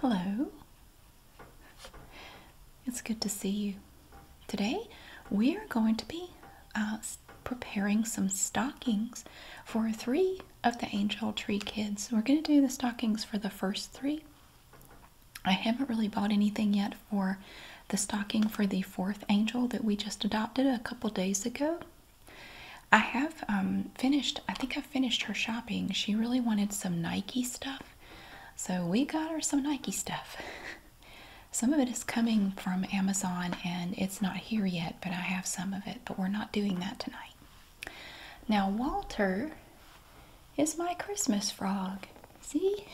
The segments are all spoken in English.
Hello. It's good to see you. Today we are going to be uh, preparing some stockings for three of the Angel Tree kids. We're going to do the stockings for the first three. I haven't really bought anything yet for the stocking for the fourth angel that we just adopted a couple days ago. I have um, finished, I think I finished her shopping. She really wanted some Nike stuff. So we got her some Nike stuff. some of it is coming from Amazon and it's not here yet, but I have some of it. But we're not doing that tonight. Now, Walter is my Christmas frog. See?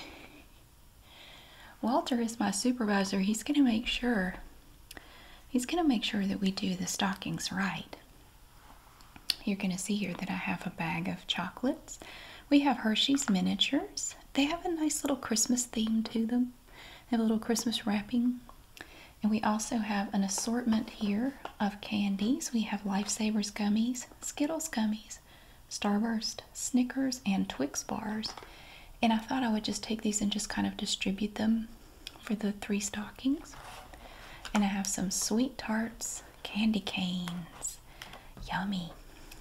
Walter is my supervisor. He's going to make sure he's going to make sure that we do the stockings right. You're going to see here that I have a bag of chocolates. We have Hershey's miniatures. They have a nice little Christmas theme to them. They have a little Christmas wrapping. And we also have an assortment here of candies. We have Lifesavers gummies, Skittles gummies, Starburst, Snickers, and Twix bars. And I thought I would just take these and just kind of distribute them for the three stockings. And I have some sweet tarts, candy canes. Yummy.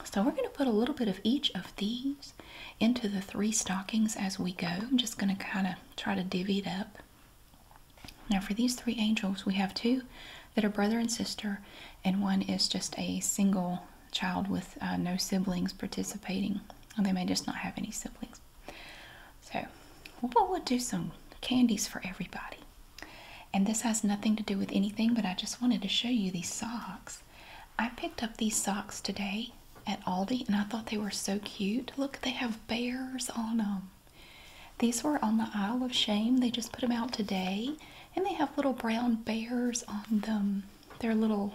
So we're going to put a little bit of each of these into the three stockings as we go. I'm just going to kind of try to divvy it up. Now for these three angels, we have two that are brother and sister, and one is just a single child with uh, no siblings participating. they may just not have any siblings. So, we'll do some candies for everybody. And this has nothing to do with anything, but I just wanted to show you these socks. I picked up these socks today at Aldi, and I thought they were so cute. Look, they have bears on them. These were on the Isle of Shame. They just put them out today, and they have little brown bears on them. They're little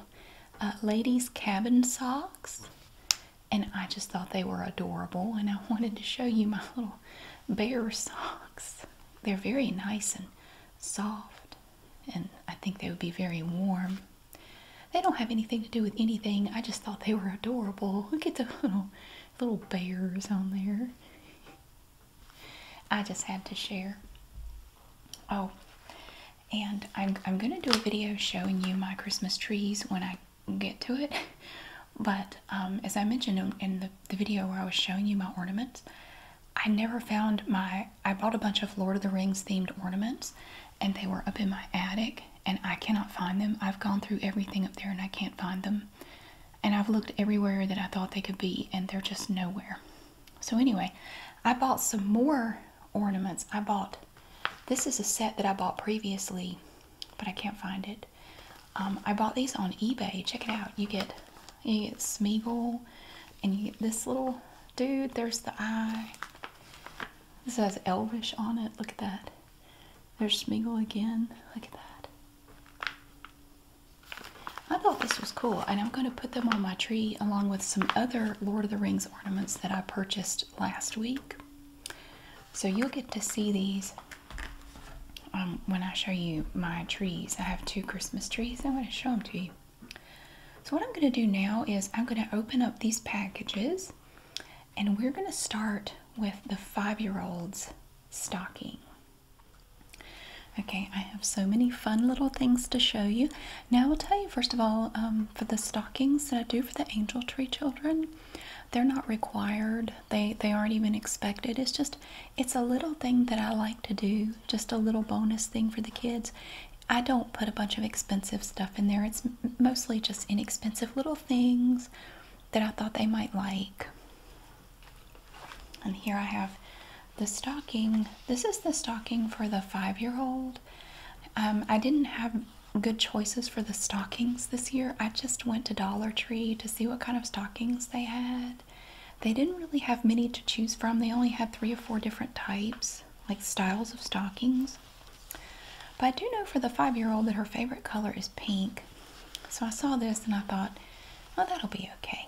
uh, ladies' cabin socks. And I just thought they were adorable, and I wanted to show you my little bear socks. They're very nice and soft, and I think they would be very warm. They don't have anything to do with anything. I just thought they were adorable. Look at the little little bears on there. I just had to share. Oh, and I'm, I'm gonna do a video showing you my Christmas trees when I get to it but um, as I mentioned in, in the, the video where I was showing you my ornaments I never found my I bought a bunch of Lord of the Rings themed ornaments and they were up in my attic and I cannot find them I've gone through everything up there and I can't find them and I've looked everywhere that I thought they could be and they're just nowhere so anyway, I bought some more ornaments. I bought, this is a set that I bought previously, but I can't find it. Um, I bought these on eBay. Check it out. You get, you get Smeagol and you get this little dude. There's the eye. This has Elvish on it. Look at that. There's Smeagol again. Look at that. I thought this was cool, and I'm going to put them on my tree along with some other Lord of the Rings ornaments that I purchased last week. So you'll get to see these um, when I show you my trees. I have two Christmas trees. I'm going to show them to you. So what I'm going to do now is I'm going to open up these packages, and we're going to start with the five-year-old's stocking. Okay, I have so many fun little things to show you. Now, I will tell you first of all um, for the stockings that I do for the Angel Tree children, they're not required. They they aren't even expected. It's just it's a little thing that I like to do, just a little bonus thing for the kids. I don't put a bunch of expensive stuff in there. It's mostly just inexpensive little things that I thought they might like. And here I have the stocking this is the stocking for the five year old um, i didn't have good choices for the stockings this year i just went to dollar tree to see what kind of stockings they had they didn't really have many to choose from they only had three or four different types like styles of stockings but i do know for the five year old that her favorite color is pink so i saw this and i thought oh that'll be okay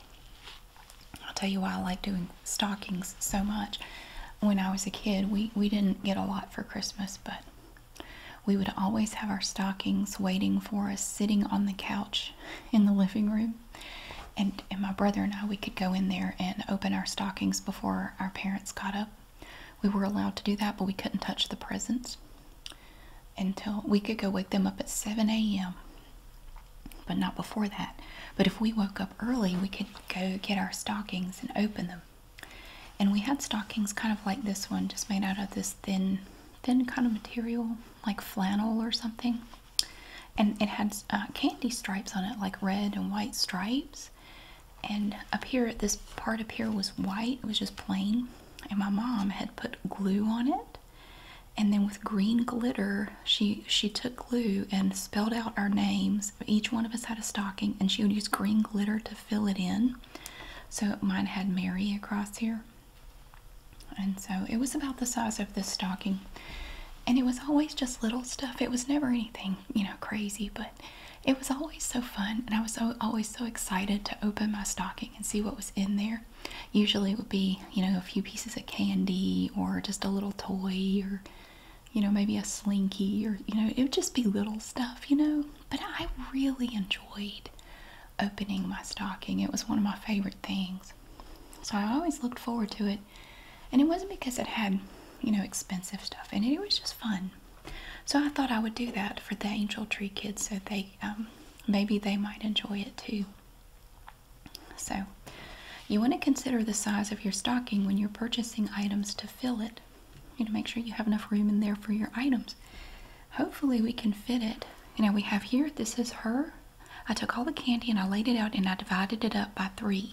I'll tell you why I like doing stockings so much. When I was a kid, we, we didn't get a lot for Christmas, but we would always have our stockings waiting for us sitting on the couch in the living room. And, and my brother and I, we could go in there and open our stockings before our parents got up. We were allowed to do that, but we couldn't touch the presents until we could go wake them up at 7 a.m but not before that. But if we woke up early, we could go get our stockings and open them. And we had stockings kind of like this one, just made out of this thin, thin kind of material, like flannel or something. And it had uh, candy stripes on it, like red and white stripes. And up here, this part up here was white, it was just plain. And my mom had put glue on it and then with green glitter she she took glue and spelled out our names each one of us had a stocking and she would use green glitter to fill it in so mine had mary across here and so it was about the size of this stocking and it was always just little stuff it was never anything you know crazy but it was always so fun and i was always so excited to open my stocking and see what was in there Usually it would be, you know, a few pieces of candy or just a little toy or, you know, maybe a slinky or, you know, it would just be little stuff, you know. But I really enjoyed opening my stocking. It was one of my favorite things. So I always looked forward to it. And it wasn't because it had, you know, expensive stuff and it, was just fun. So I thought I would do that for the Angel Tree kids so they, um, maybe they might enjoy it too. So, you want to consider the size of your stocking when you're purchasing items to fill it. You want to make sure you have enough room in there for your items. Hopefully, we can fit it. You know, we have here, this is her. I took all the candy and I laid it out and I divided it up by three.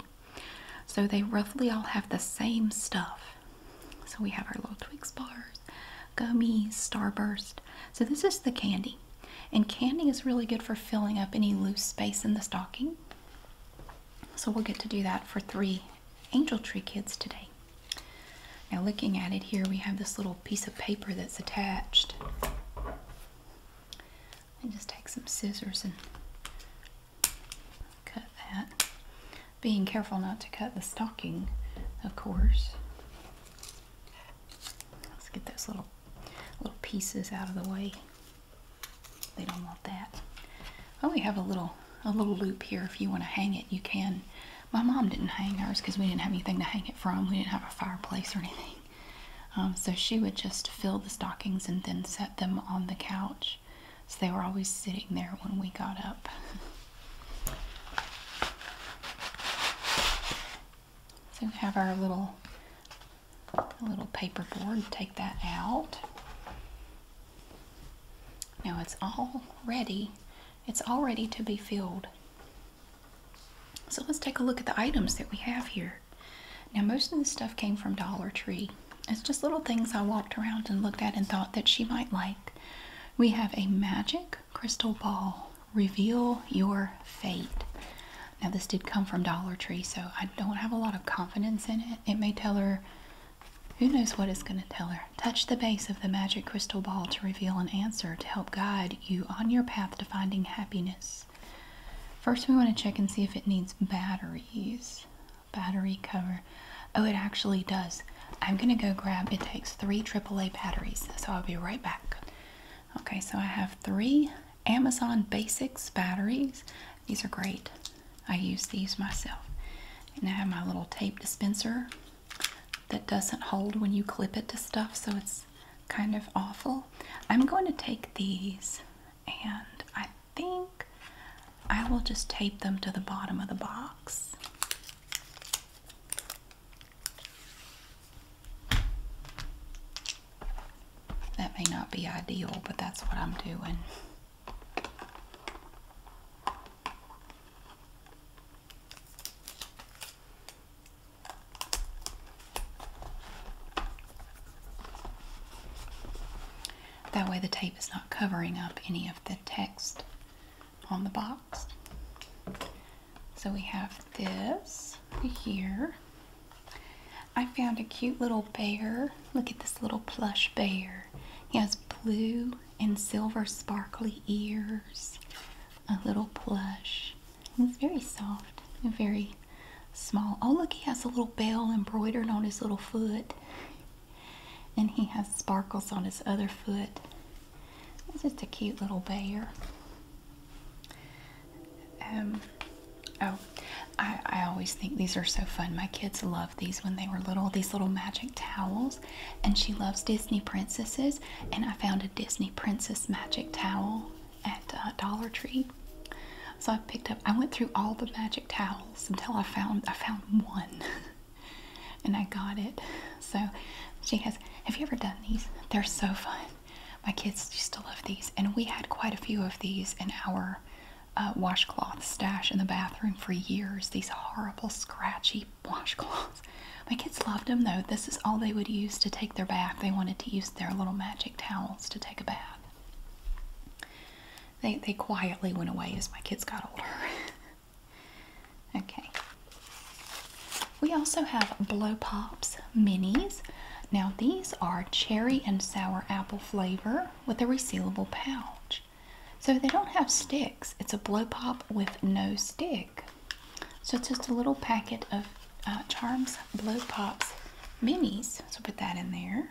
So they roughly all have the same stuff. So we have our little Twix bars, gummies, Starburst. So this is the candy. And candy is really good for filling up any loose space in the stocking. So we'll get to do that for three angel tree kids today. Now looking at it here, we have this little piece of paper that's attached. And just take some scissors and cut that. Being careful not to cut the stocking, of course. Let's get those little little pieces out of the way. They don't want that. Oh, we have a little a little loop here. If you want to hang it, you can. My mom didn't hang ours because we didn't have anything to hang it from. We didn't have a fireplace or anything. Um, so she would just fill the stockings and then set them on the couch. So they were always sitting there when we got up. So we have our little little paper board. Take that out. Now it's all ready. It's all ready to be filled. So let's take a look at the items that we have here. Now most of this stuff came from Dollar Tree. It's just little things I walked around and looked at and thought that she might like. We have a magic crystal ball reveal your fate. Now, this did come from Dollar Tree, so I don't have a lot of confidence in it. It may tell her, who knows what it's going to tell her. Touch the base of the magic crystal ball to reveal an answer to help guide you on your path to finding happiness. First, we want to check and see if it needs batteries. Battery cover. Oh, it actually does. I'm going to go grab, it takes three AAA batteries, so I'll be right back. Okay, so I have three Amazon Basics batteries. These are great. I use these myself. And I have my little tape dispenser that doesn't hold when you clip it to stuff, so it's kind of awful. I'm going to take these and I think I will just tape them to the bottom of the box. That may not be ideal, but that's what I'm doing. That way the tape is not covering up any of the text on the box. So we have this here. I found a cute little bear. Look at this little plush bear. He has blue and silver sparkly ears. A little plush. He's very soft and very small. Oh, look, he has a little bell embroidered on his little foot. And he has sparkles on his other foot. It's just a cute little bear. Um, oh, I, always think these are so fun. My kids loved these when they were little, these little magic towels. And she loves Disney princesses. And I found a Disney princess magic towel at uh, Dollar Tree. So I picked up, I went through all the magic towels until I found, I found one. and I got it. So she has, have you ever done these? They're so fun. My kids used to love these, and we had quite a few of these in our uh, washcloth stash in the bathroom for years. These horrible, scratchy washcloths. My kids loved them though. This is all they would use to take their bath. They wanted to use their little magic towels to take a bath. They, they quietly went away as my kids got older. okay, we also have Blow Pops Minis. Now, these are cherry and sour apple flavor with a resealable pouch. So, they don't have sticks, it's a blow pop with no stick. So, it's just a little packet of uh, Charms Blow Pops Minis. So, put that in there.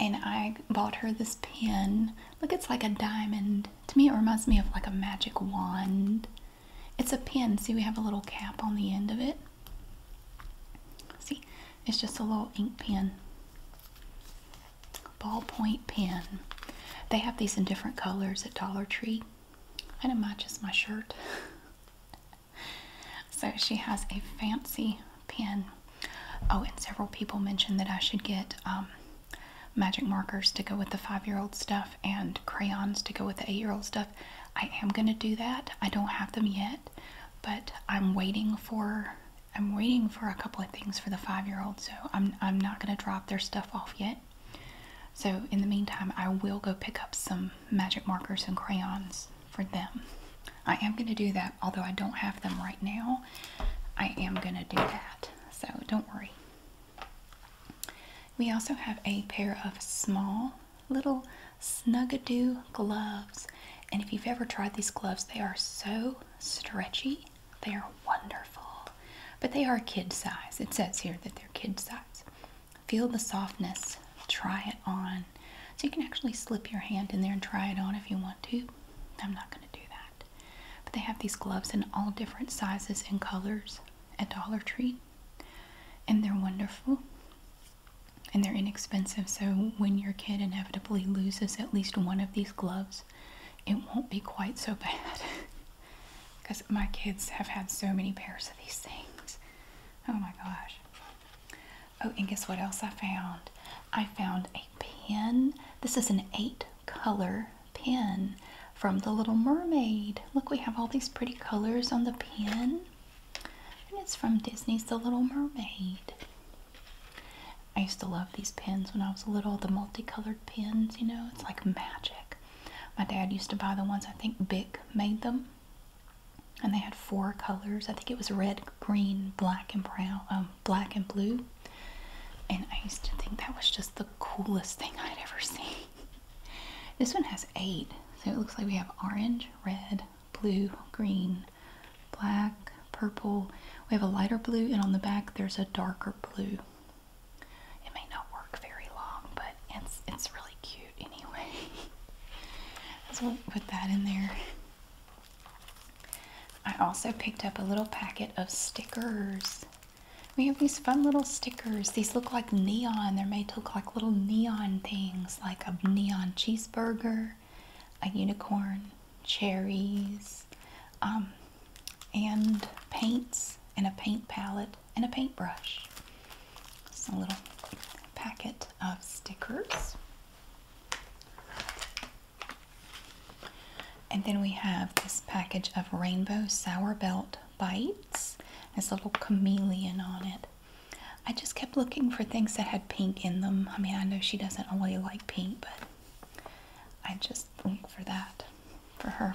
And I bought her this pin. Look, it's like a diamond. To me, it reminds me of like a magic wand. It's a pen. See, we have a little cap on the end of it. See, it's just a little ink pen, ballpoint pen. They have these in different colors at Dollar Tree. And it matches my shirt. so she has a fancy pen. Oh, and several people mentioned that I should get um, magic markers to go with the five year old stuff and crayons to go with the eight year old stuff. I am going to do that. I don't have them yet, but I'm waiting for. I'm waiting for a couple of things for the five-year-old, so I'm I'm not gonna drop their stuff off yet. So in the meantime, I will go pick up some magic markers and crayons for them. I am gonna do that, although I don't have them right now. I am gonna do that, so don't worry. We also have a pair of small little snug-a-do gloves. And if you've ever tried these gloves, they are so stretchy. They are wonderful. But they are kid size. It says here that they're kid size. Feel the softness. Try it on. So you can actually slip your hand in there and try it on if you want to. I'm not going to do that. But they have these gloves in all different sizes and colors at Dollar Tree. And they're wonderful and they're inexpensive. So when your kid inevitably loses at least one of these gloves, it won't be quite so bad. Because my kids have had so many pairs of these things. Oh my gosh. Oh, and guess what else I found? I found a pen. This is an eight color pen from The Little Mermaid. Look, we have all these pretty colors on the pen, and it's from Disney's The Little Mermaid. I used to love these pens when I was little, the multicolored pens, you know, it's like magic. My dad used to buy the ones, I think Bic made them, and they had four colors. I think it was red, green, black, and brown, um, black and blue. And I used to think that was just the coolest thing I'd ever seen. This one has eight, so it looks like we have orange, red, blue, green, black, purple. We have a lighter blue, and on the back there's a darker blue. It may not work very long, but it's it's really cute anyway. so we'll put that in there. I also picked up a little packet of stickers. We have these fun little stickers. These look like neon. They're made to look like little neon things, like a neon cheeseburger, a unicorn, cherries, um, and paints, and a paint palette, and a paintbrush. Just a little packet of stickers. And then we have this package of rainbow sour belt bites. Has a little chameleon on it. I just kept looking for things that had pink in them. I mean, I know she doesn't really like pink, but I just look for that for her.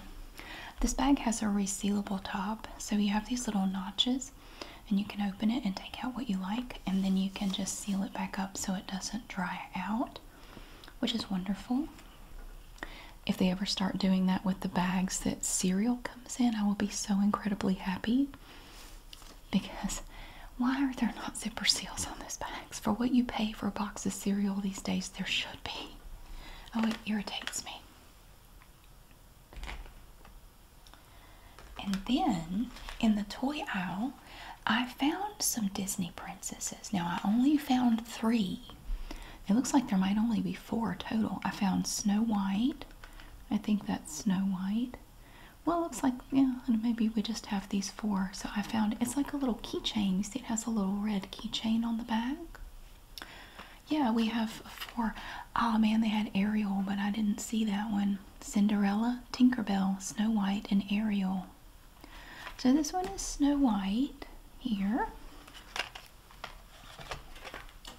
This bag has a resealable top, so you have these little notches, and you can open it and take out what you like, and then you can just seal it back up so it doesn't dry out which is wonderful. If they ever start doing that with the bags that cereal comes in, I will be so incredibly happy because why are there not zipper seals on those bags? For what you pay for a box of cereal these days, there should be. Oh, it irritates me. And then in the toy aisle, I found some Disney princesses. Now, I only found three it looks like there might only be four total. I found Snow White. I think that's Snow White. Well, it looks like, yeah, and maybe we just have these four. So I found it's like a little keychain. You see, it has a little red keychain on the back. Yeah, we have four. Oh man, they had Ariel, but I didn't see that one. Cinderella, Tinkerbell, Snow White, and Ariel. So this one is Snow White here.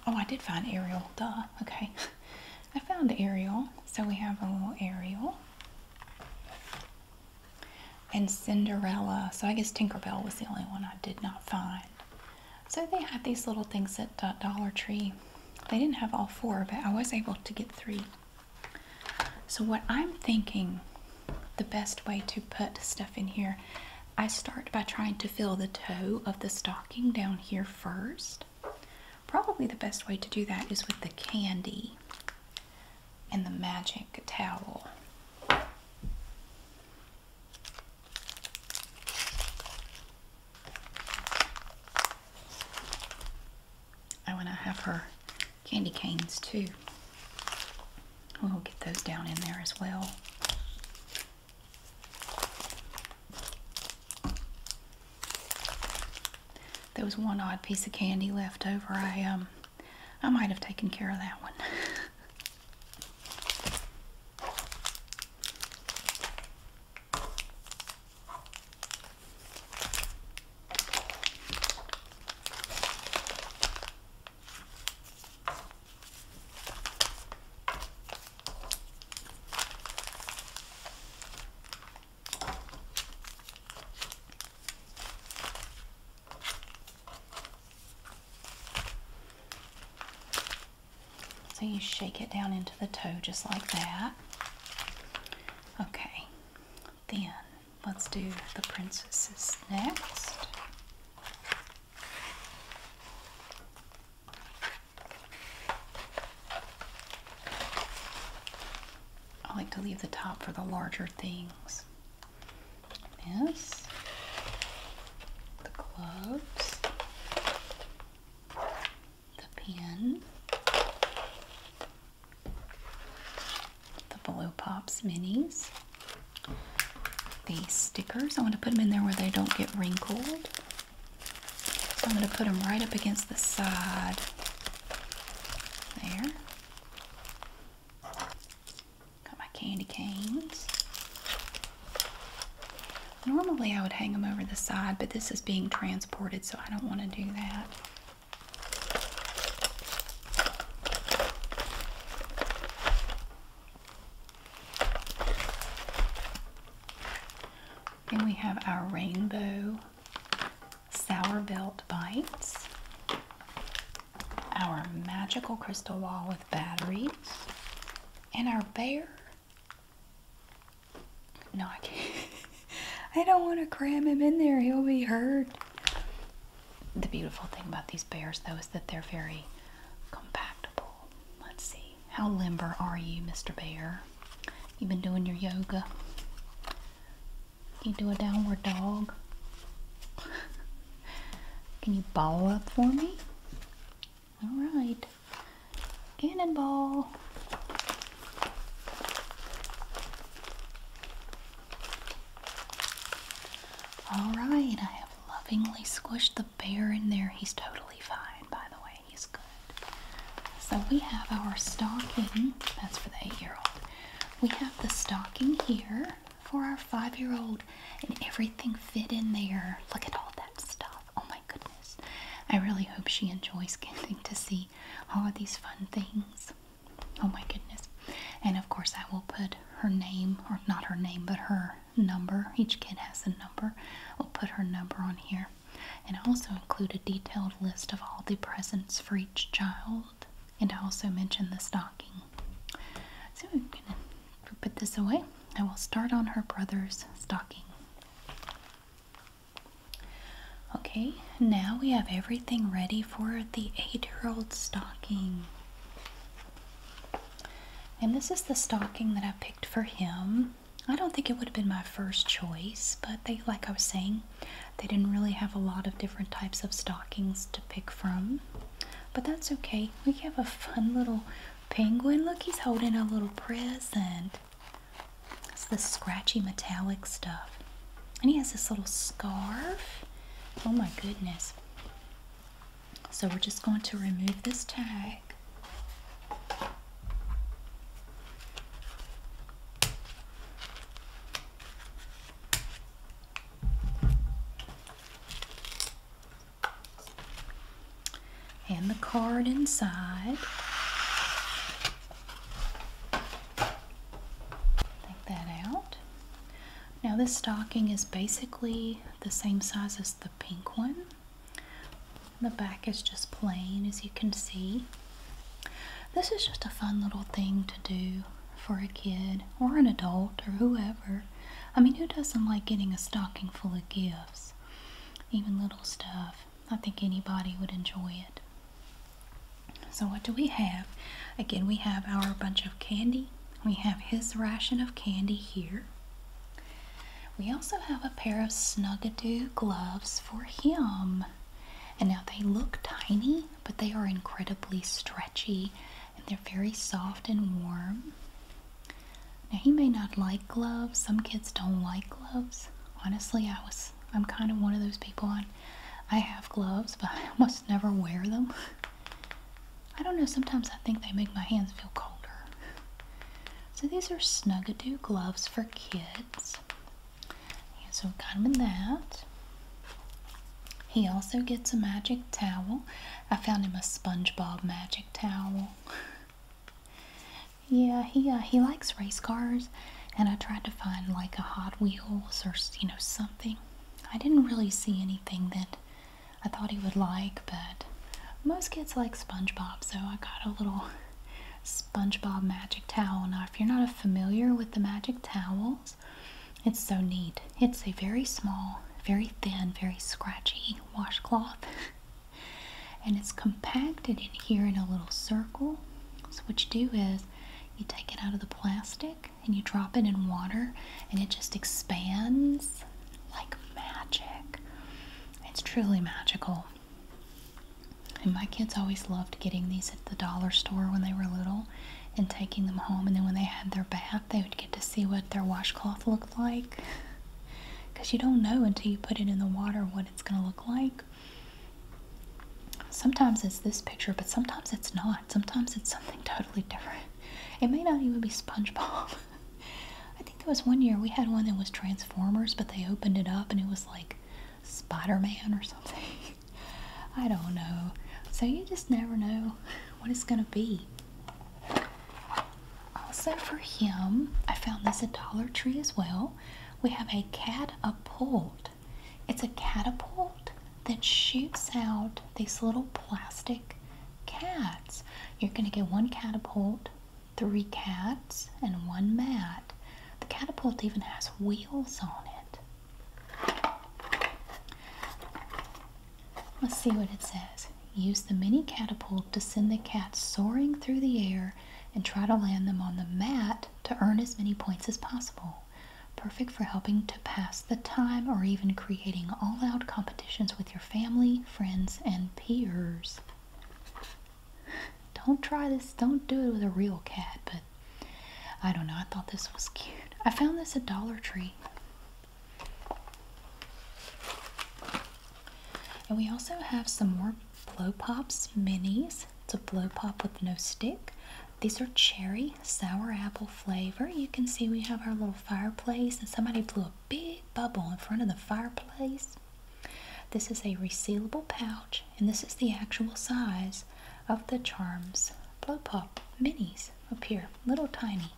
Oh, I did find Ariel. Duh. Okay. I found Ariel. So we have a little Ariel. And Cinderella. So I guess Tinker Bell was the only one I did not find. So they had these little things at Dollar Tree. They didn't have all four, but I was able to get three. So what I'm thinking the best way to put stuff in here. I start by trying to fill the toe of the stocking down here first. Probably the best way to do that is with the candy and the magic towel. I want to have her candy canes too. We'll get those down in there as well. There was one odd piece of candy left over. I um I might have taken care of that one. So you shake it down into the toe just like that. Okay, then let's do the princesses next. I like to leave the top for the larger things. This, the gloves, the pen, the blue Pops minis. These stickers, I want to put them in there where they don't get wrinkled. So I'm going to put them right up against the side. There. Got my candy canes. Normally I would hang them over the side, but this is being transported, so I don't want to do that. Then we have our rainbow sour belt bites, our magical crystal ball with batteries, and our bear. No, I can't. I don't want to cram him in there. He'll be hurt the beautiful thing about these bears, though, is that they're very compactable. Let's see. How limber are you, Mr. Bear? You been doing your yoga? Can you do a downward dog? Can you ball up for me? All right. Cannonball. All right, I have lovingly squished the bear in there. He's totally fine, by the way. He's good. So we have our stocking. That's for the eight-year-old. We have the stocking here for our five-year-old, and everything fit in there. Look at all that stuff. Oh my goodness. I really hope she enjoys getting to see all of these fun things. Oh my goodness. And of course, I will put her name, or not her name, but her number. Each kid has a number. We'll put her number on here. And also include a detailed list of all the presents for each child. And I also mention the stocking. So I'm going to put this away. I will start on her brother's stocking. Okay, now we have everything ready for the eight-year-old stocking. And this is the stocking that I picked for him. I don't think it would have been my first choice, but they, like I was saying, they didn't really have a lot of different types of stockings to pick from. But that's okay. We have a fun little penguin. Look, he's holding a little present. It's the scratchy metallic stuff. And he has this little scarf. Oh my goodness. So we're just going to remove this tag. And the card inside. Take that out. Now this stocking is basically the same size as the pink one. The back is just plain as you can see. This is just a fun little thing to do for a kid or an adult or whoever. I mean, who doesn't like getting a stocking full of gifts? Even little stuff. I think anybody would enjoy it. So, what do we have? Again, we have our bunch of candy. We have his ration of candy here. We also have a pair of Snuggadoo gloves for him. And now they look tiny, but they are incredibly stretchy and they're very soft and warm. Now he may not like gloves. Some kids don't like gloves. Honestly, I was I'm kind of one of those people. I I have gloves, but I almost never wear them. I don't know, sometimes I think they make my hands feel colder. So these are Snuggadoo gloves for kids. And so we got him in that. He also gets a magic towel. I found him a SpongeBob magic towel. yeah, he uh, he likes race cars, and I tried to find like a Hot Wheels or you know something. I didn't really see anything that I thought he would like, but most kids like SpongeBob, so I got a little SpongeBob magic towel. Now, if you're not familiar with the magic towels, it's so neat. It's a very small, very thin, very scratchy washcloth. and it's compacted in here in a little circle. So what you do is you take it out of the plastic and you drop it in water and it just expands like magic. It's truly magical. And my kids always loved getting these at the dollar store when they were little and taking them home. And then when they had their bath, they would get to see what their washcloth looked like. Because you don't know until you put it in the water what it's going to look like. Sometimes it's this picture, but sometimes it's not. Sometimes it's something totally different. It may not even be SpongeBob. I think there was one year we had one that was Transformers, but they opened it up and it was like Spider Man or something. I don't know. So you just never know what it's going to be. Also, for him, I found this at Dollar Tree as well. We have a catapult. It's a catapult that shoots out these little plastic cats. You're going to get one catapult, three cats, and one mat. The catapult even has wheels on it. Let's see what it says. Use the mini catapult to send the cats soaring through the air and try to land them on the mat to earn as many points as possible. Perfect for helping to pass the time or even creating all out competitions with your family, friends, and peers. Don't try this, don't do it with a real cat, but I don't know. I thought this was cute. I found this at Dollar Tree. And we also have some more Blow Pops minis. It's a blow pop with no stick. These are cherry sour apple flavor. You can see we have our little fireplace, and somebody blew a big bubble in front of the fireplace. This is a resealable pouch, and this is the actual size of the Charms Blow Pop minis appear little tiny.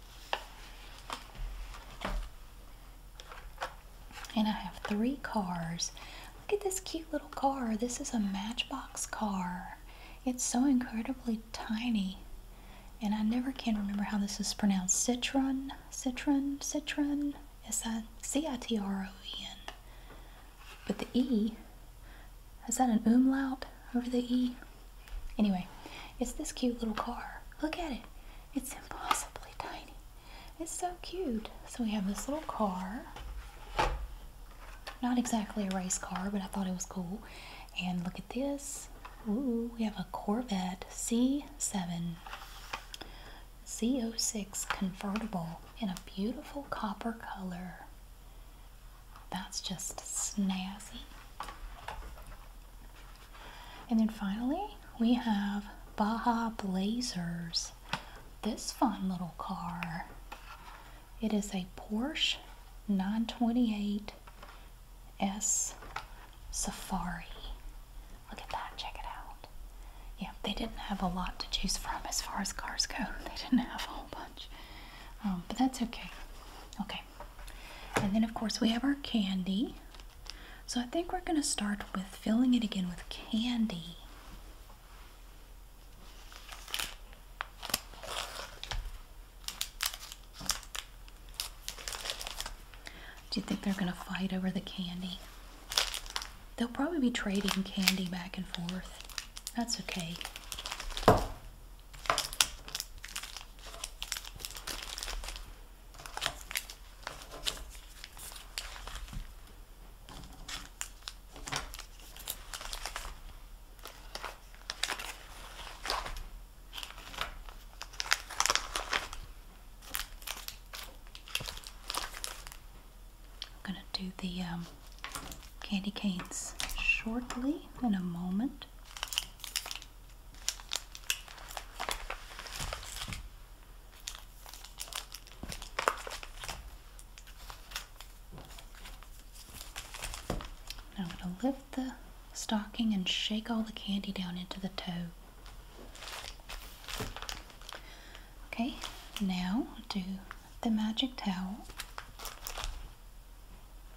And I have three cars Look at this cute little car. This is a Matchbox car. It's so incredibly tiny. And I never can remember how this is pronounced. Citron, Citron, Citron. S-I-C-I-T-R-O-E-N. But the E, is that an umlaut over the E? Anyway, it's this cute little car. Look at it. It's impossibly tiny. It's so cute. So we have this little car not exactly a race car, but I thought it was cool. And look at this. Ooh, we have a Corvette C7 C06 convertible in a beautiful copper color. That's just snazzy. And then finally, we have Baja Blazers this fun little car. It is a Porsche 928 S Safari. Look at that, check it out. Yeah, they didn't have a lot to choose from as far as cars go. They didn't have a whole bunch. Um, but that's okay. Okay. And then, of course, we have our candy. So I think we're going to start with filling it again with candy. Do you think they're going to fight over the candy? They'll probably be trading candy back and forth. That's okay. I'm going to do the um, candy canes shortly in a moment. Now I'm going to lift the stocking and shake all the candy down into the toe. Okay, now do the magic towel,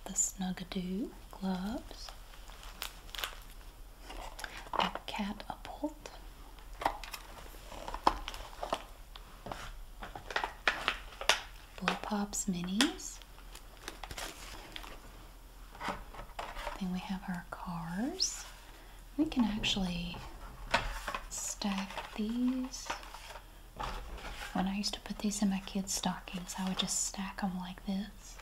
the Snuggadoo gloves, the catapult, Blow Pops Minis. Then we have our cars. We can actually stack these. When I used to put these in my kids' stockings, I would just stack them like this.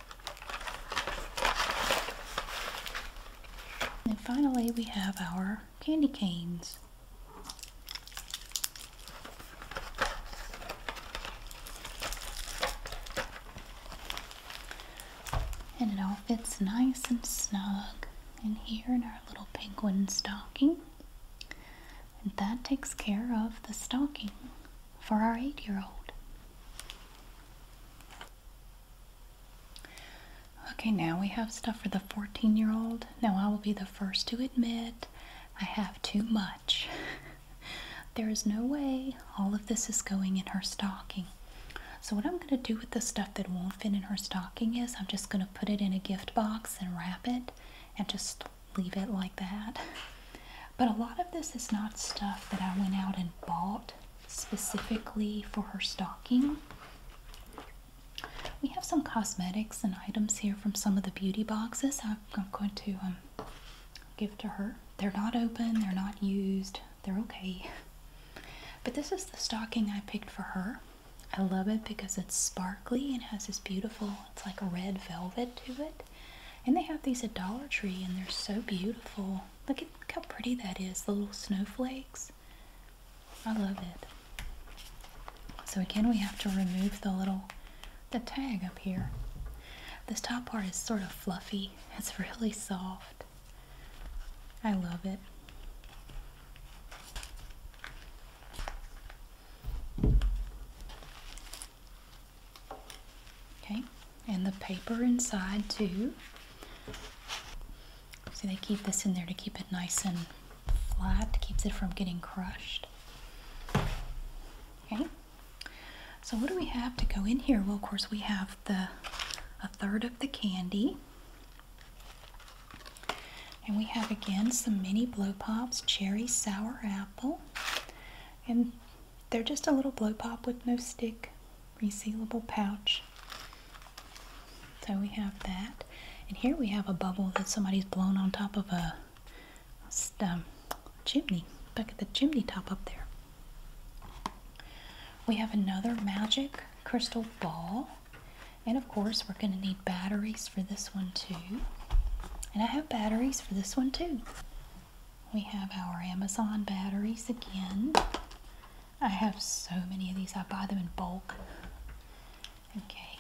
And finally, we have our candy canes. And it all fits nice and snug in here in our little penguin stocking. And that takes care of the stocking for our eight year old. Okay, now we have stuff for the 14 year old. Now, I will be the first to admit I have too much. there is no way all of this is going in her stocking. So, what I'm going to do with the stuff that won't fit in her stocking is I'm just going to put it in a gift box and wrap it and just leave it like that. But a lot of this is not stuff that I went out and bought specifically for her stocking. We have some cosmetics and items here from some of the beauty boxes. I'm going to um, give to her. They're not open, they're not used, they're okay. But this is the stocking I picked for her. I love it because it's sparkly and has this beautiful, it's like a red velvet to it. And they have these at Dollar Tree and they're so beautiful. Look at look how pretty that is, the little snowflakes. I love it. So again, we have to remove the little, the tag up here. This top part is sort of fluffy. It's really soft. I love it. Okay, and the paper inside too. So they keep this in there to keep it nice and flat, keeps it from getting crushed. Okay, so what do we have to go in here? Well, of course, we have the a third of the candy. And we have again some mini blow pops, cherry sour apple. And they're just a little blow pop with no stick, resealable pouch. So we have that. And here we have a bubble that somebody's blown on top of a um, chimney. Look at the chimney top up there. We have another magic crystal ball. And of course, we're going to need batteries for this one too. And I have batteries for this one too. We have our Amazon batteries again. I have so many of these. I buy them in bulk. Okay.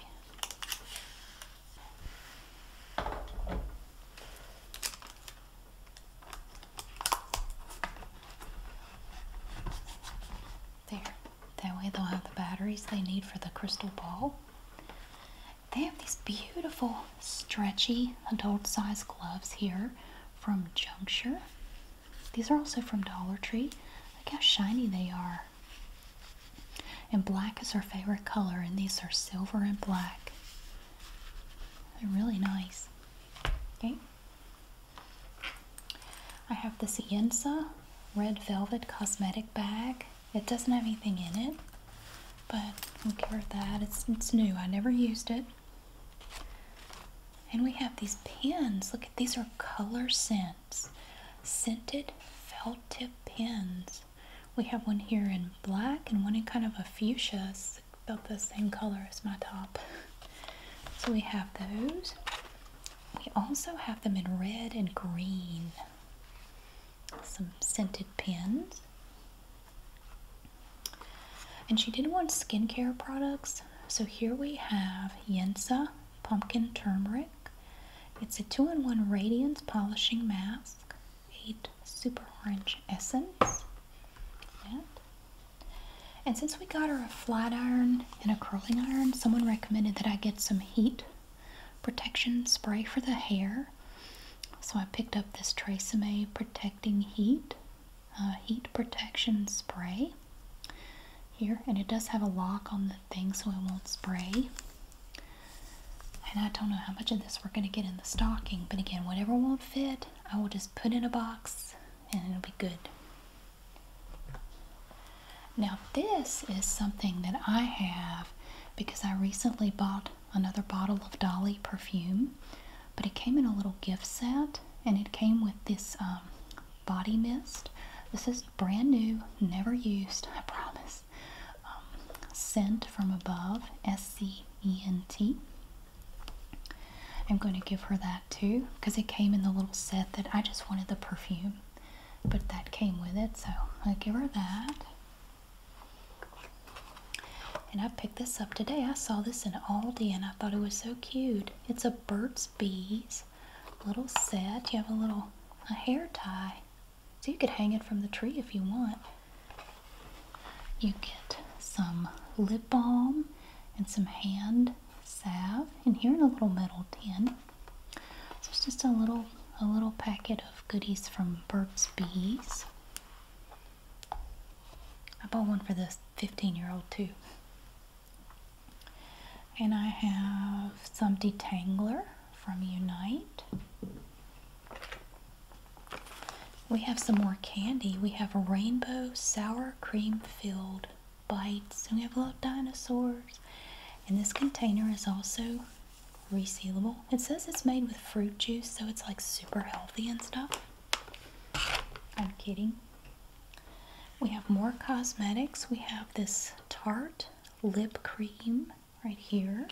There. That way they'll have the batteries they need for the crystal ball. They have these beautiful stretchy adult size gloves here from Juncture. These are also from Dollar Tree. Look how shiny they are. And black is our favorite color, and these are silver and black. They're really nice. Okay. I have this Yensa red velvet cosmetic bag. It doesn't have anything in it, but we'll give her that. It's, it's new. I never used it. And we have these pens. Look at these are color scents. Scented felt tip pens. We have one here in black and one in kind of a fuchsia. about the same color as my top. So we have those. We also have them in red and green. Some scented pens. And she did want skincare products, so here we have Yensa Pumpkin Turmeric. It's a 2-in-1 Radiance Polishing Mask, 8 Super Orange Essence. And, and since we got her a flat iron and a curling iron, someone recommended that I get some heat protection spray for the hair. So I picked up this Tresemme Protecting Heat uh, heat protection spray here and it does have a lock on the thing so it won't spray and I don't know how much of this we're going to get in the stocking but again whatever won't fit I will just put in a box and it'll be good now this is something that I have because I recently bought another bottle of Dolly perfume but it came in a little gift set and it came with this um, body mist. This is brand new, never used, I promise. Um, scent from Above, S C E N T. I'm going to give her that too because it came in the little set that I just wanted the perfume, but that came with it, so I'll give her that. And I picked this up today. I saw this in Aldi and I thought it was so cute. It's a Burt's Bees little set. You have a little a hair tie. So you could hang it from the tree if you want. You get some lip balm and some hand salve and here in a little metal tin. So it's just a little a little packet of goodies from Burt's Bees. I bought one for the 15 year old too. And I have some detangler from Unite. We have some more candy. We have rainbow sour cream filled bites. And we have little dinosaurs. And this container is also resealable. It says it's made with fruit juice, so it's like super healthy and stuff. I'm kidding. We have more cosmetics. We have this Tarte lip cream right here.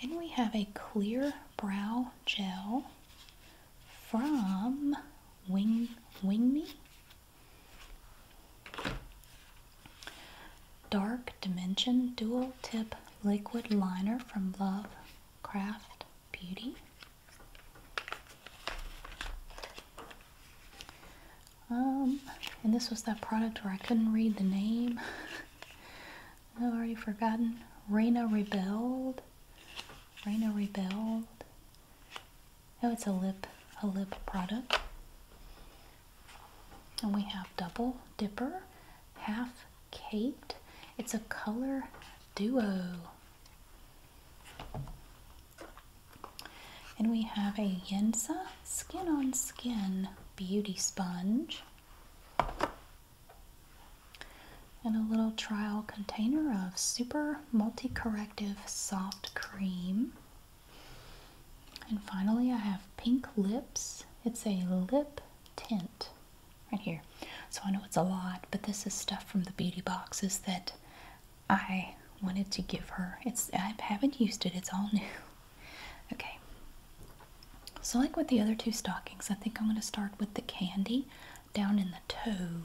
And we have a clear brow gel from Wing Wing Me. Dark Dimension Dual Tip Liquid Liner from Love Craft Beauty. Um, and this was that product where I couldn't read the name. I've already forgotten. Reina Rebelled. Reina Rebelled. Oh, it's a lip, a lip product. And we have double dipper, half Caped. It's a color duo. And we have a Yensa Skin on Skin Beauty Sponge. And a little trial container of Super Multi Corrective Soft Cream. And finally, I have Pink Lips. It's a lip tint right here. So I know it's a lot, but this is stuff from the beauty boxes that I wanted to give her. It's I haven't used it, it's all new. Okay. So like with the other two stockings, I think I'm going to start with the candy down in the toe.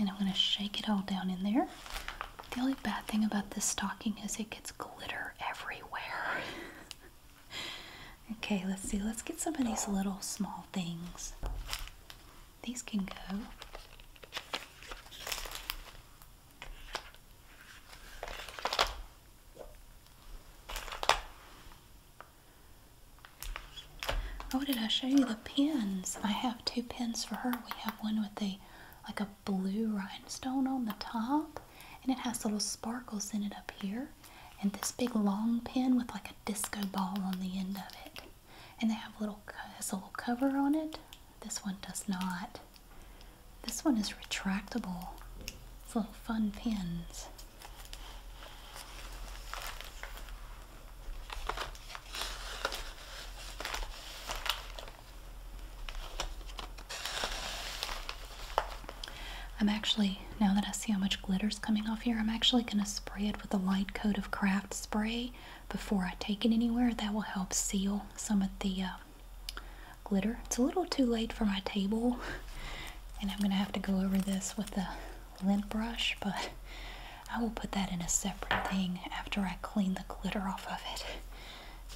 And I'm going to shake it all down in there. The only bad thing about this stocking is it gets glitter everywhere. okay, let's see. Let's get some of these little small things. These can go. Oh, did I show you the pins? I have two pins for her. We have one with a like a blue rhinestone on the top, and it has little sparkles in it up here and this big long pin with like a disco ball on the end of it. And they have a little has a little cover on it. This one does not. This one is retractable. It's little fun pins. I'm actually now that I see how much glitter's coming off here, I'm actually going to spray it with a light coat of craft spray before I take it anywhere. That will help seal some of the uh, glitter. It's a little too late for my table, and I'm going to have to go over this with a lint brush, but I will put that in a separate thing after I clean the glitter off of it.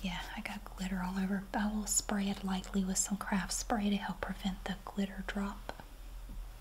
Yeah, I got glitter all over. I will spray it lightly with some craft spray to help prevent the glitter drop.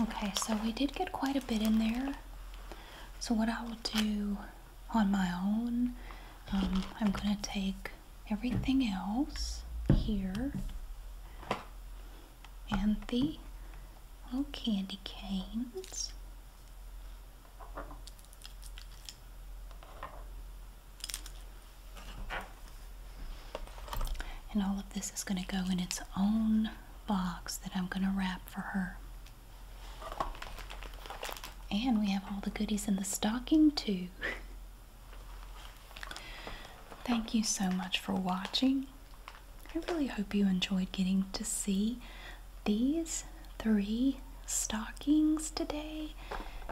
Okay, so we did get quite a bit in there. So what I will do on my own, um, I'm going to take everything else here and the little candy canes. And all of this is going to go in its own box that I'm going to wrap for her. And we have all the goodies in the stocking too. Thank you so much for watching. I really hope you enjoyed getting to see these three stockings today.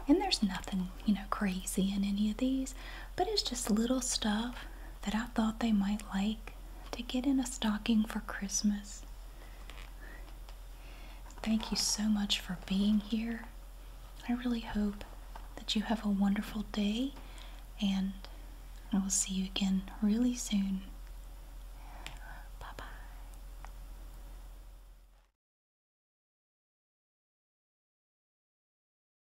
And there's nothing, you know, crazy in any of these, but it's just little stuff that I thought they might like to get in a stocking for Christmas. Thank you so much for being here. I really hope that you have a wonderful day and I will see you again really soon. Bye bye.